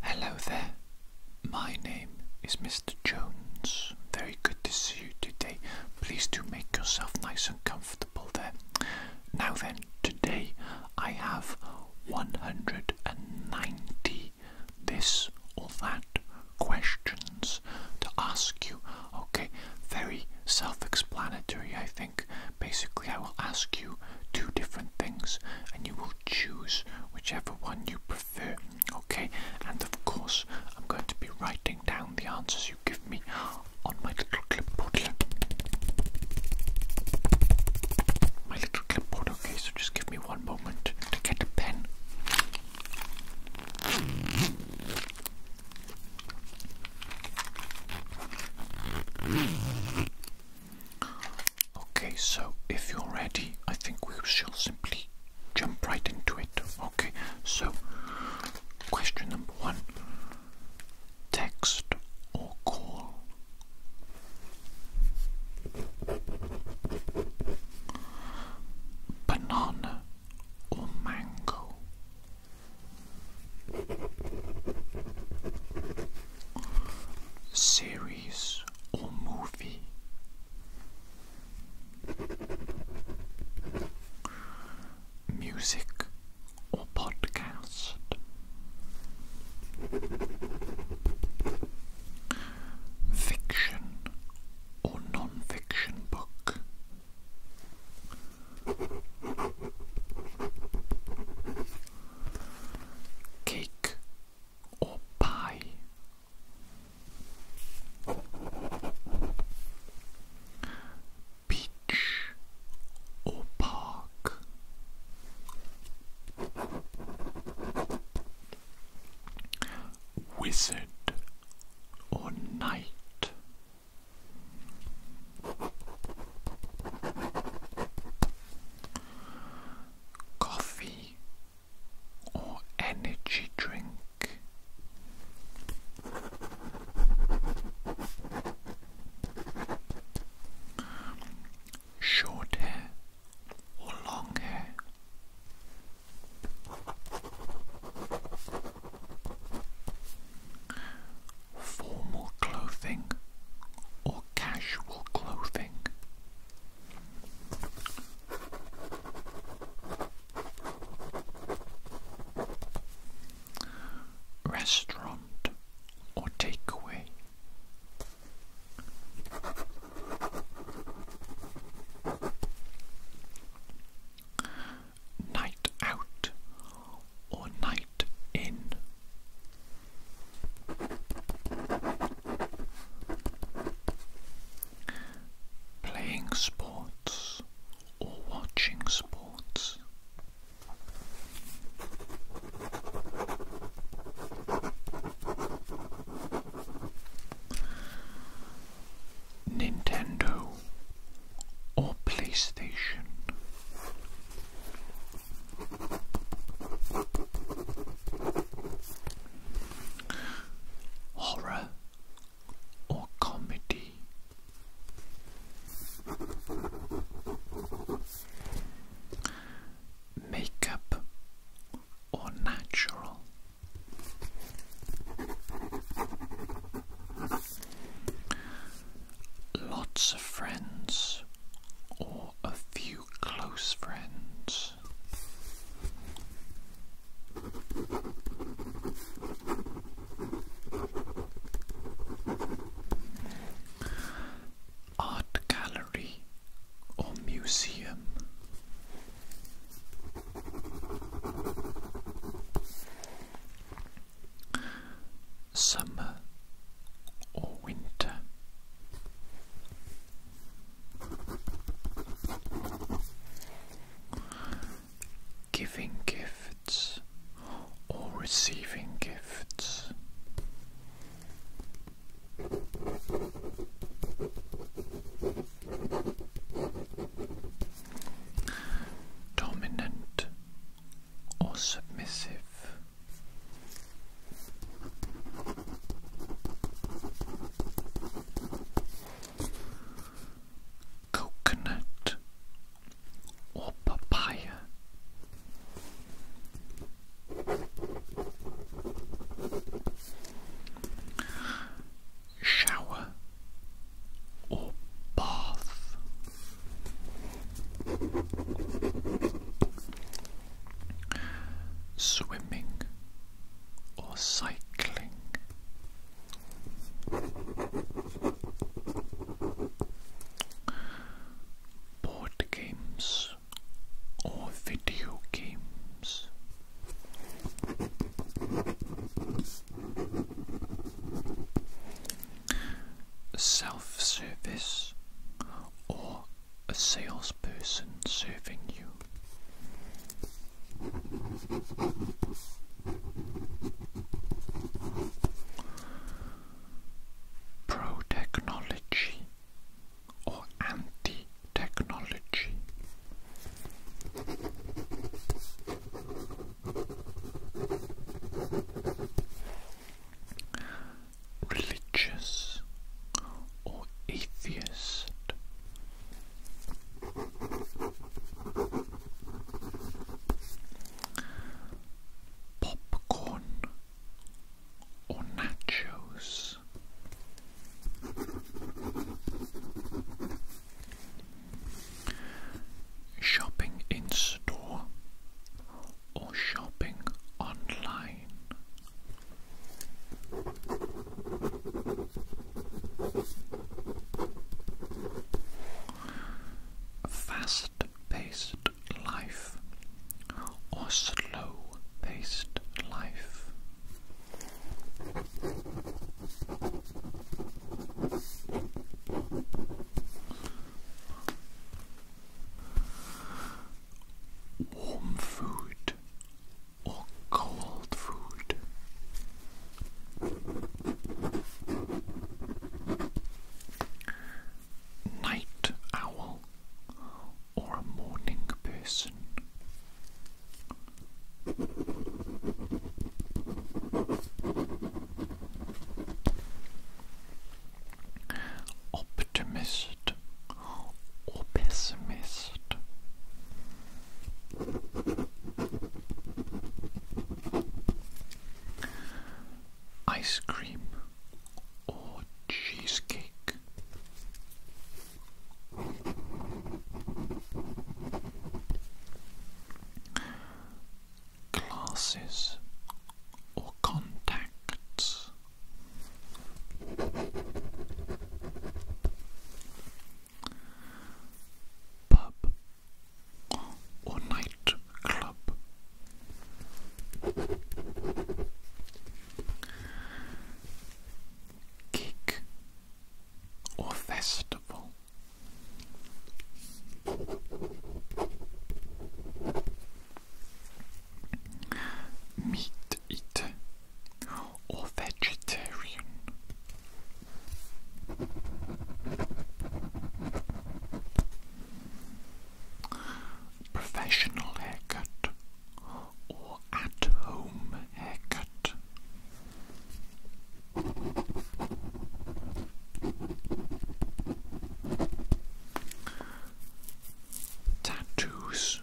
Hello there. My name is Mr. Jones. Very good to see you today. Please do make yourself nice and comfortable there. Now then, today I have 190 this or that questions to ask you. Okay, very self explanatory, I think. Basically, I will ask you two different things and you will choose whichever one you prefer. Okay, and of course, I'm going to be writing down the answers you give me on my little clipboard here. My little clipboard, okay, so just give me one moment to get a pen. Okay, so if you're ready, I think we shall simply jump right into it. Okay, so question number one text or call? Banana or mango? series or movie. Music or podcast. Fiction or non fiction book. Cake or pie. Beach or park. Wizard or knight coffee or energy drink. Short hair or long hair. Formal clothing or casual clothing. Restaurant or takeaway. Night out or night in. Playing sports or watching sports. Nintendo or PlayStation. Horror or comedy? Makeup or natural? Lots of friends or a few close friends. Art gallery or museum. Summer or winter. Giving gifts or receiving gifts. Dominant or submissive. Coconut or papaya. Shower or bath swimming, or cycling. Board games or video games. Self service or a salesperson serving you. Pro technology or anti technology religious or atheist? Popcorn or nachos? Shopping in store or shopping online? Fast-paced life or slow-paced life. Warm food food or cold food. Night owl or a morning person. Optimist or pessimist. Ice cream or cheesecake. Glasses or contacts. Pub or night Gig or festival meat eater or vegetarian. Professional haircut or at home haircut. Tattoos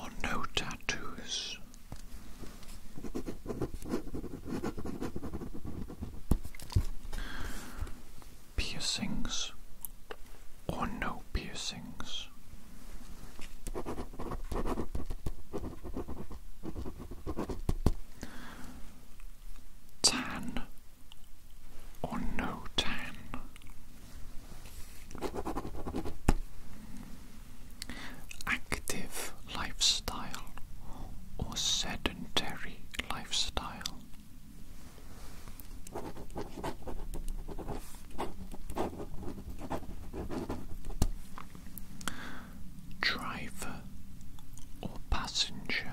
or no tattoos. Piercings or no piercings. Tan or no tan. Active lifestyle or sedentary lifestyle. Driver or passenger.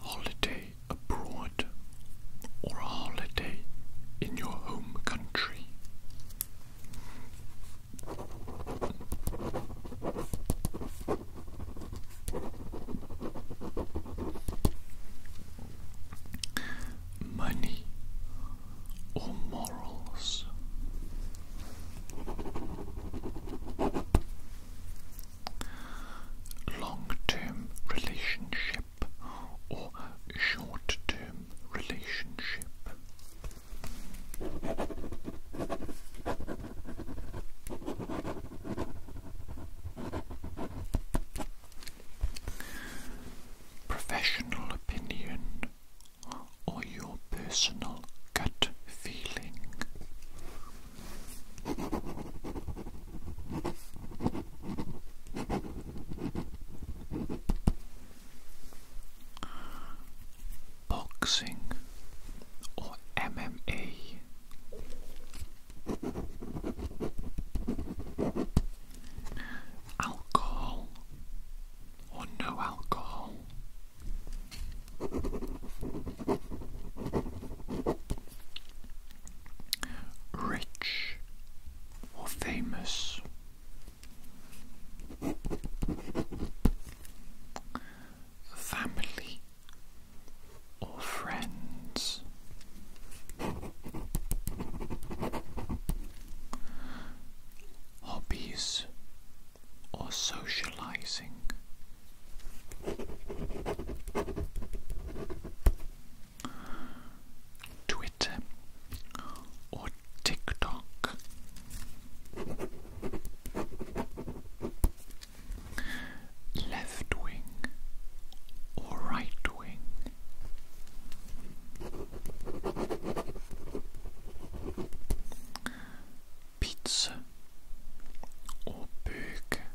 Holiday abroad or a holiday in your home country. Money or morals. Long-term relationship or short-term relationship. Professional opinion or your personal gut feeling. Boxing or MMA. Alcohol or no alcohol. Rich or famous. Family or friends. Hobbies or socializing. Twitter or TikTok. Left wing or right wing pizza or burger,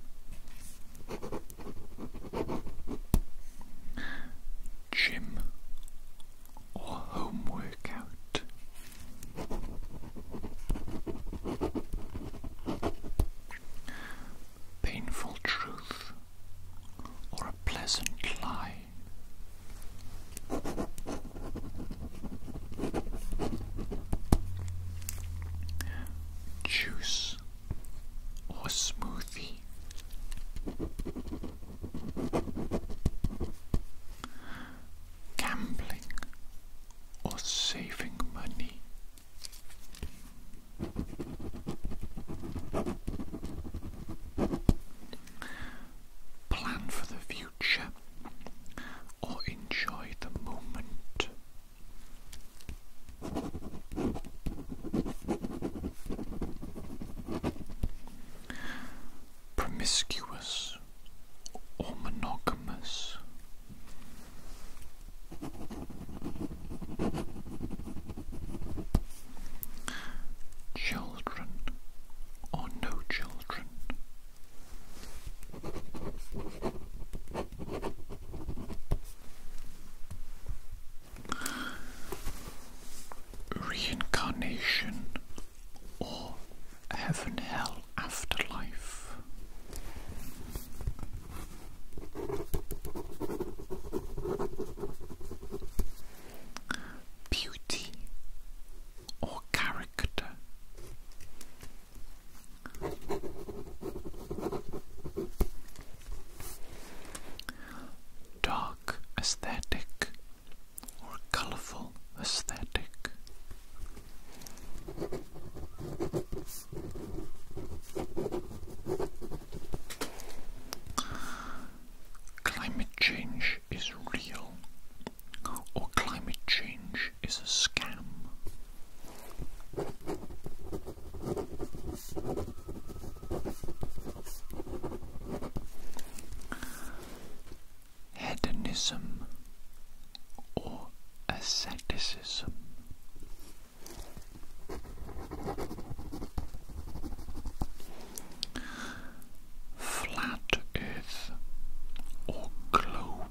gym or home workout. Painful truth or a pleasant lie. Juice or smoothie. Gambling or saving money. Plan for the future or enjoy the moment. Promiscuous or monogamous. Children or no children. Reincarnation or heaven, hell, afterlife. Beauty or character. Dark aesthetic or colorful aesthetic. Climate change is real or climate change is a scam. Hedonism or asceticism. Flat Earth or globe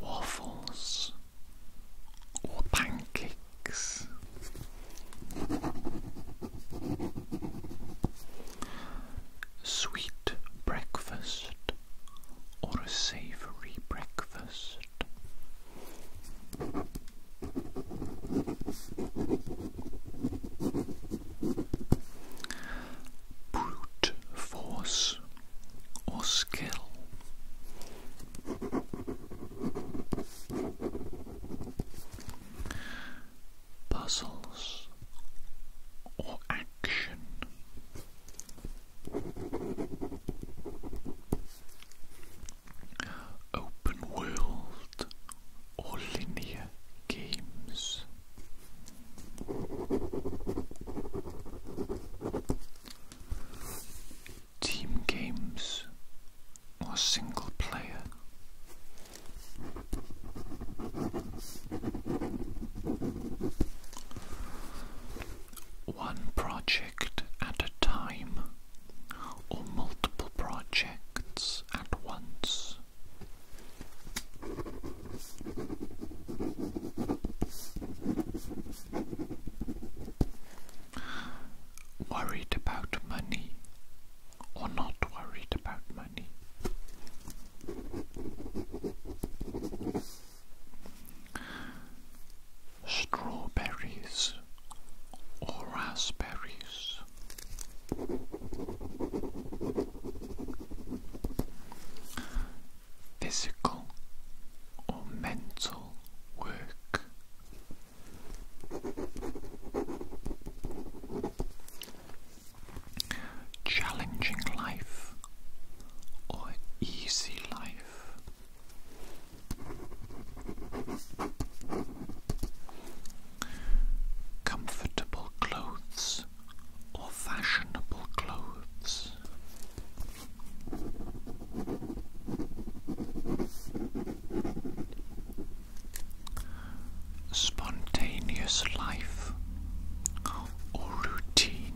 Waffles or pancakes. Sweet breakfast or a savoury breakfast. Brute force or skill. Puzzles or action open world or linear games. Team games or single player. One project at a time or multiple projects at once. Worried about money or not worried about money? strawberries or raspberries. Physical or mental work. Challenging life or easy life. Comfortable clothes or fashionable clothes. Spontaneous life or routine.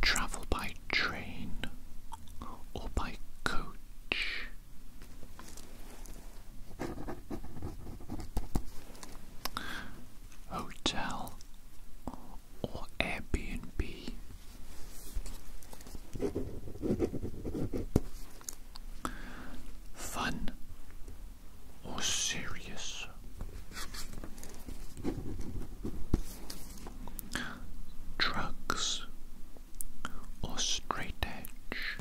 Travel by train or by coach. Hotel or Airbnb. Fun or serious. Drugs or straight edge.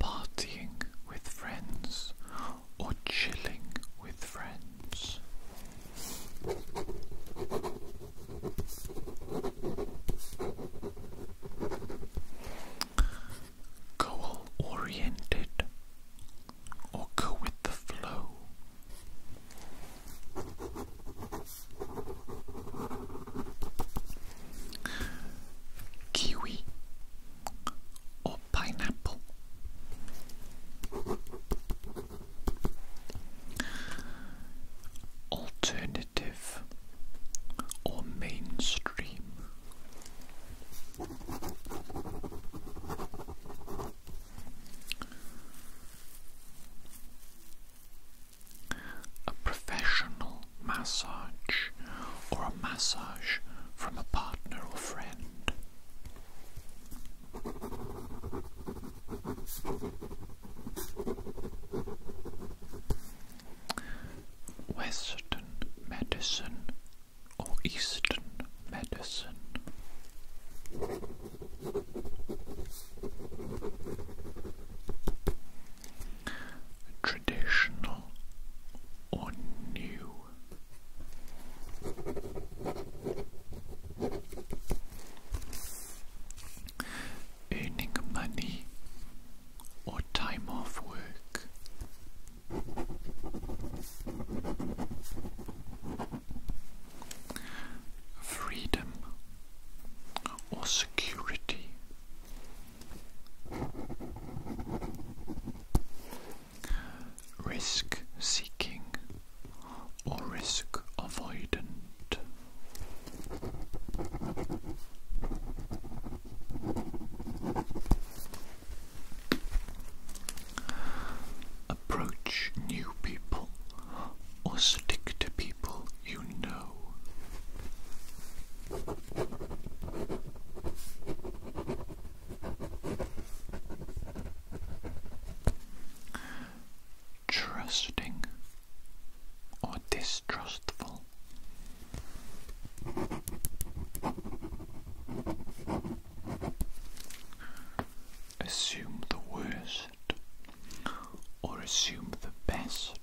Partying with friends or chilling with friends. Goal oriented or go with the flow. Kiwi or pineapple. Alternative or mainstream. A professional massage or a massage from a partner or friend. Western medicine or Eastern medicine. Traditional or new earning money or time off work. Freedom or security. Risk seeking or risk avoidant. Approach new people or stick to people you know. Trusting or distrustful. Assume the worst or assume the best.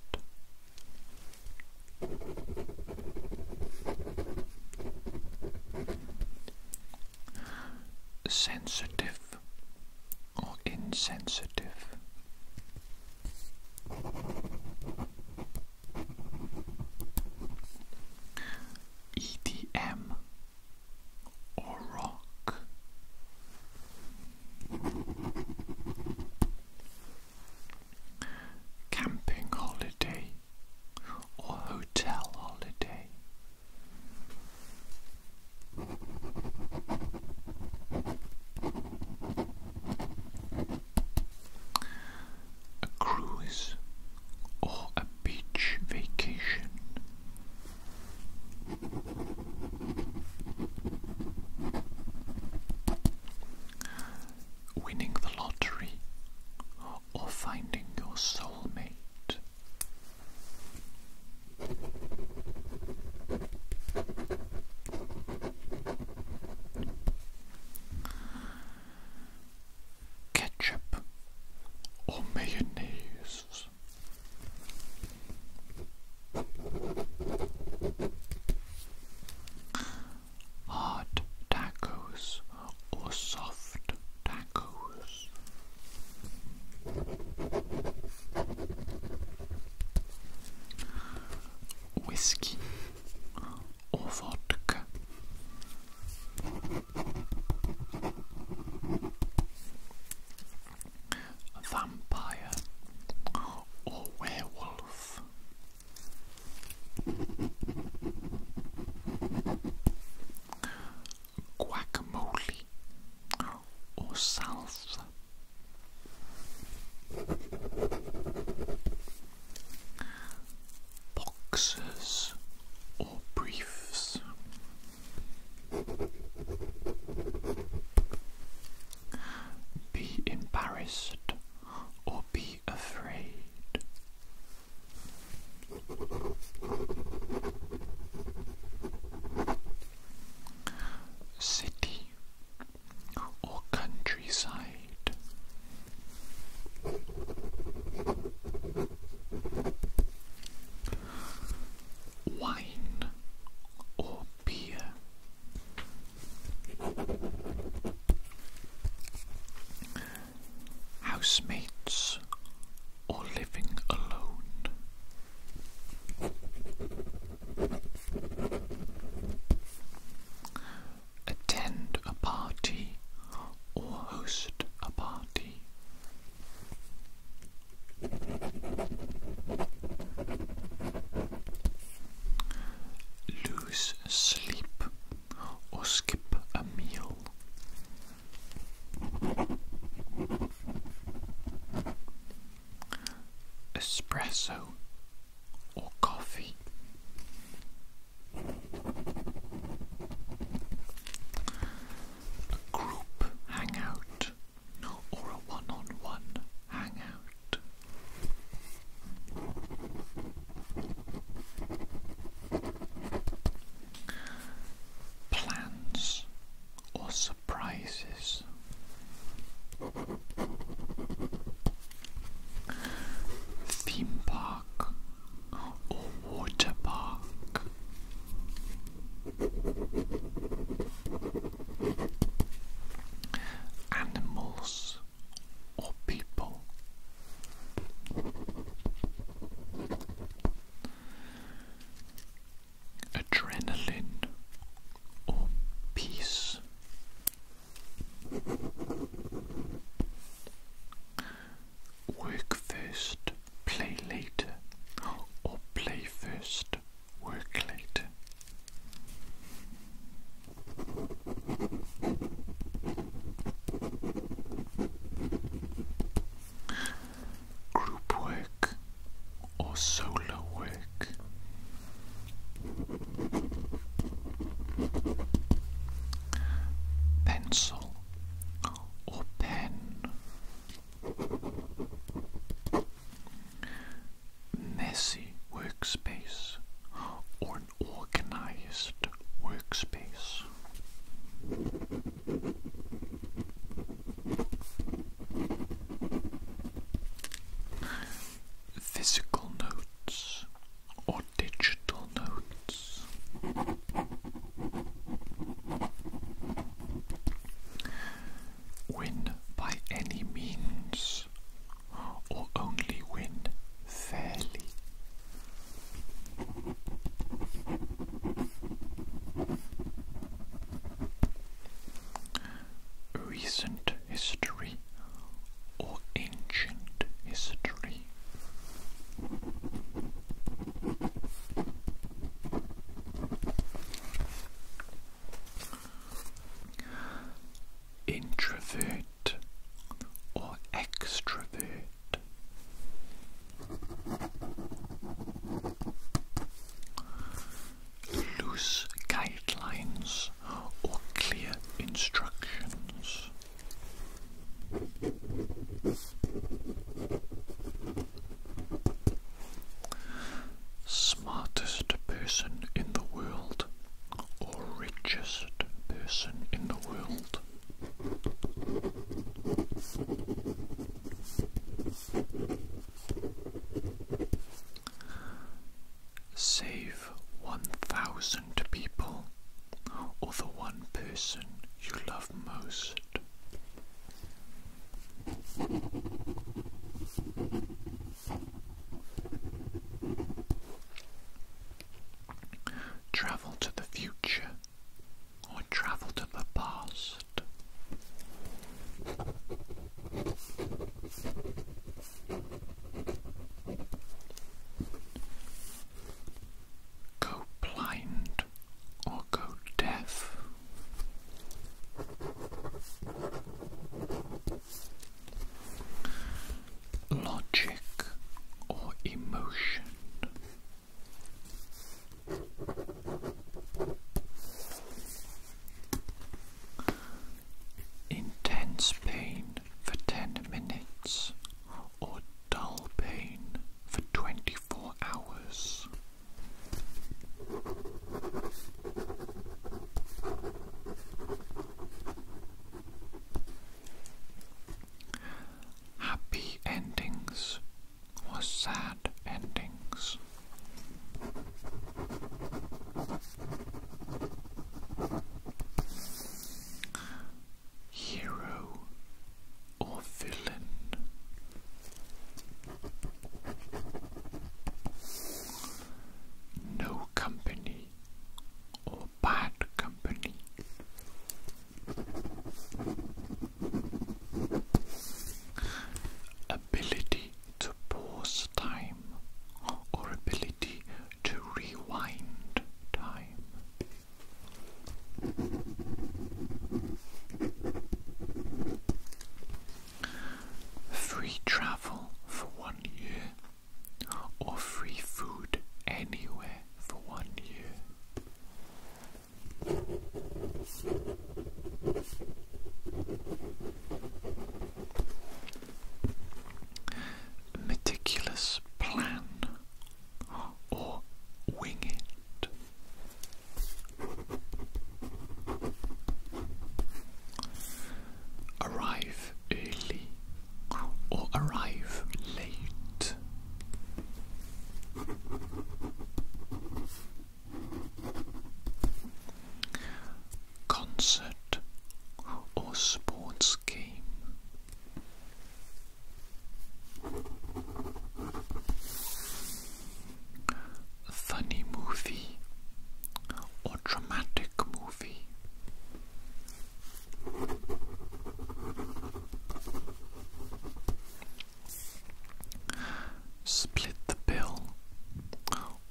Sensitive or insensitive. EDM or rock. Camping holiday or hotel holiday. A cruise or a beach vacation. Winning the lottery or finding your soulmate. Ketchup or mayonnaise. Hard tacos or soft tacos whiskey or vodka. vampire or werewolf. Guacamole or self, boxes, or briefs. Be embarrassed or be afraid. City or countryside. Wine or beer. Housemates or living alone. Attend a party or host a party. Lose sleep or skip a meal espresso or coffee? A group hangout or a one on one hangout? Plans or surprises. Theme park or water park. Animals or people. Adrenaline or peace. Work first, play later, or play first, work later. Group work or solo work pencil or pen, messy workspace or an organized workspace physical notes or digital notes. Win by any means or only win fairly. Recent history or ancient history. Introvert or extrovert loose guidelines or clear instructions. Smartest person in the world or richest person in the world. Save 1,000 people or the one person you love most. Travel to the future or travel to the past. Go blind or go deaf. Logic or emotion intense pain for 10 minutes or dull pain for 24 hours. Happy endings or sad endings. Hero or villain? No company or bad company? Ability to pause time or ability to rewind time. Free travel for one year or free food anywhere for one year. Meticulous plan or wing it. Arrive early or arrive late concert, or sports game. funny movie or dramatic movie. Split the bill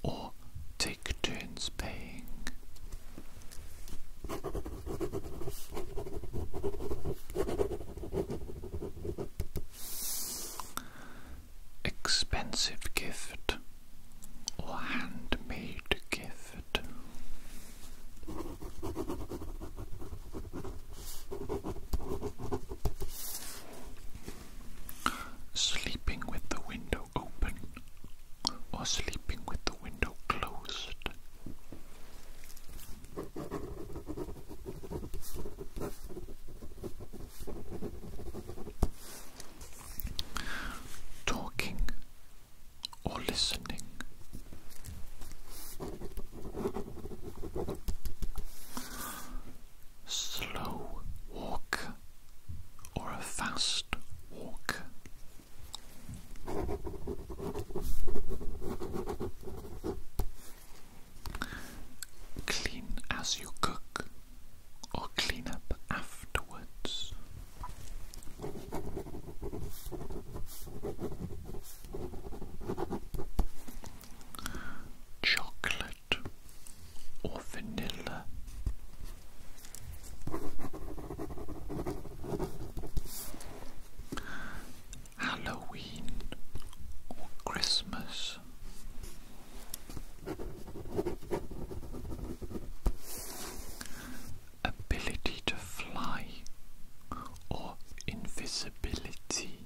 or take turns paying. Expensive gift or handmade gift sleeping with the window open or sleeping with the window closed. Talking or listening slow walk or a fast walk? Clean as you cook or clean up afterwards. Chocolate or vanilla. Halloween or Christmas. Ability to fly or invisibility.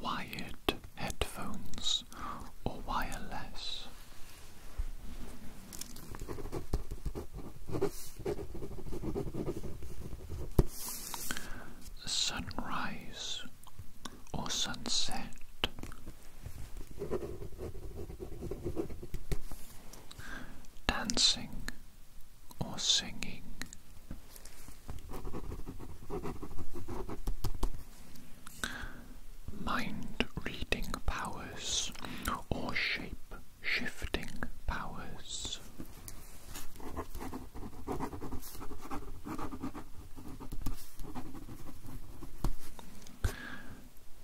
Wired headphones or wireless. Sunrise or sunset. Dancing or singing. Mind reading powers or shape shifting powers.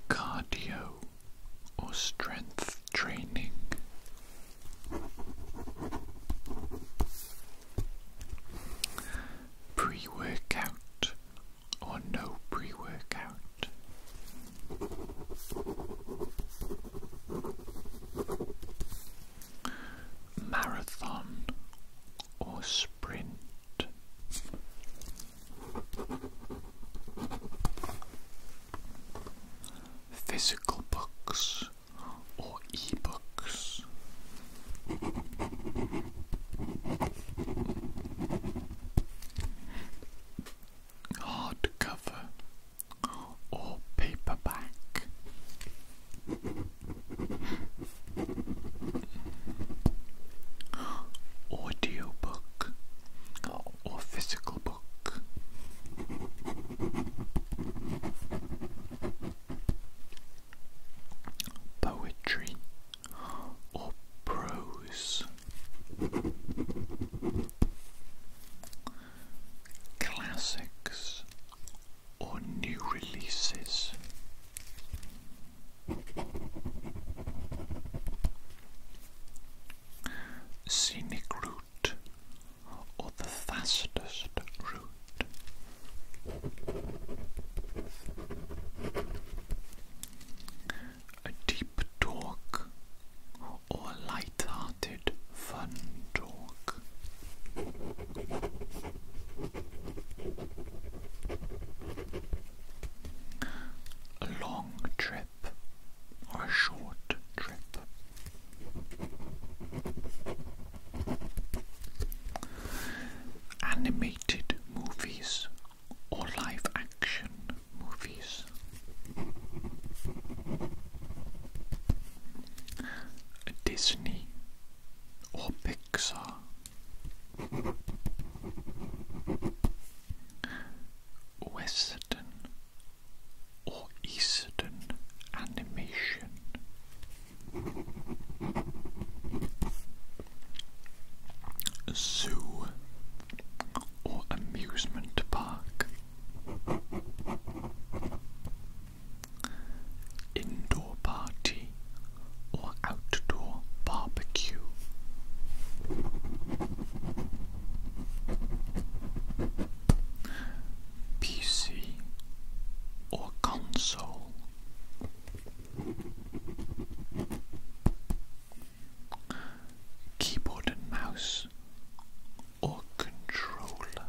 Cardio or strength training Pre workout or no pre workout? Marathon or sprint? physical books or ebooks. Hardcover or paperback. Audiobook or physical Poetry or prose. Classics or new releases. Scenic route or the fastest route? A deep talk or a light-hearted fun talk? A long trip or a short trip? Animated movies or live action movies. Disney or Pixar. Western or Eastern animation. Zoo or amusement park. Indoor party or outdoor barbecue. PC or console. Keyboard and mouse or controller.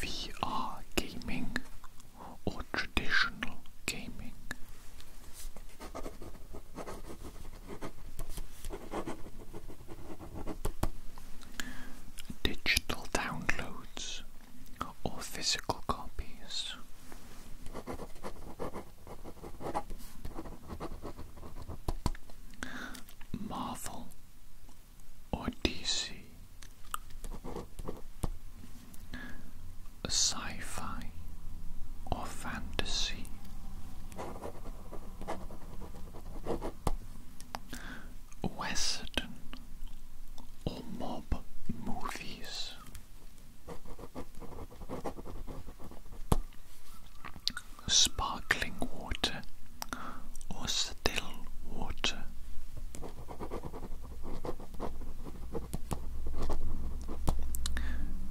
VR gaming or traditional gaming. Digital downloads or physical copies. Marvel or DC a sci fi or fantasy. Western or mob movies. Sparkling water or still water.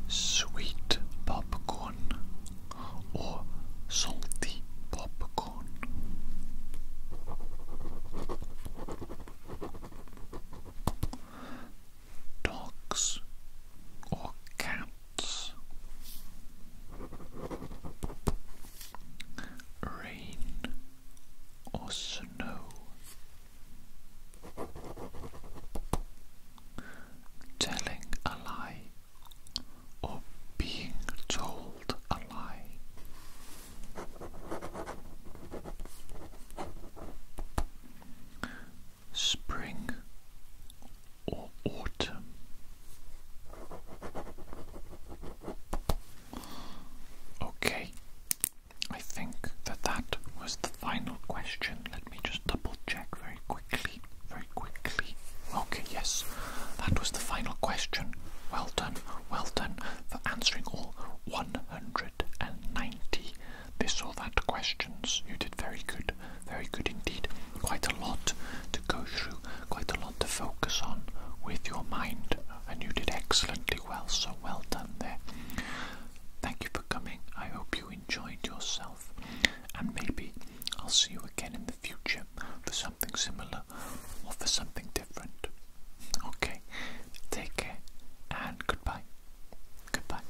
Sweet popcorn or salty popcorn. Dogs or cats. Rain or snow. Telling a lie or being told a lie. Spring or autumn. Okay, I think that that was the final question. Let me double check very quickly, very quickly. Okay, yes, that was the final question. Well done, well done for answering all 190 this or that questions. You did very good, very good indeed. Quite a lot to go through, quite a lot to focus on with your mind, and you did excellently well, so well done there. Thank you for coming. I hope you enjoyed yourself, and maybe I'll see you again in the future for something similar or for something different. Okay, take care and goodbye. Goodbye.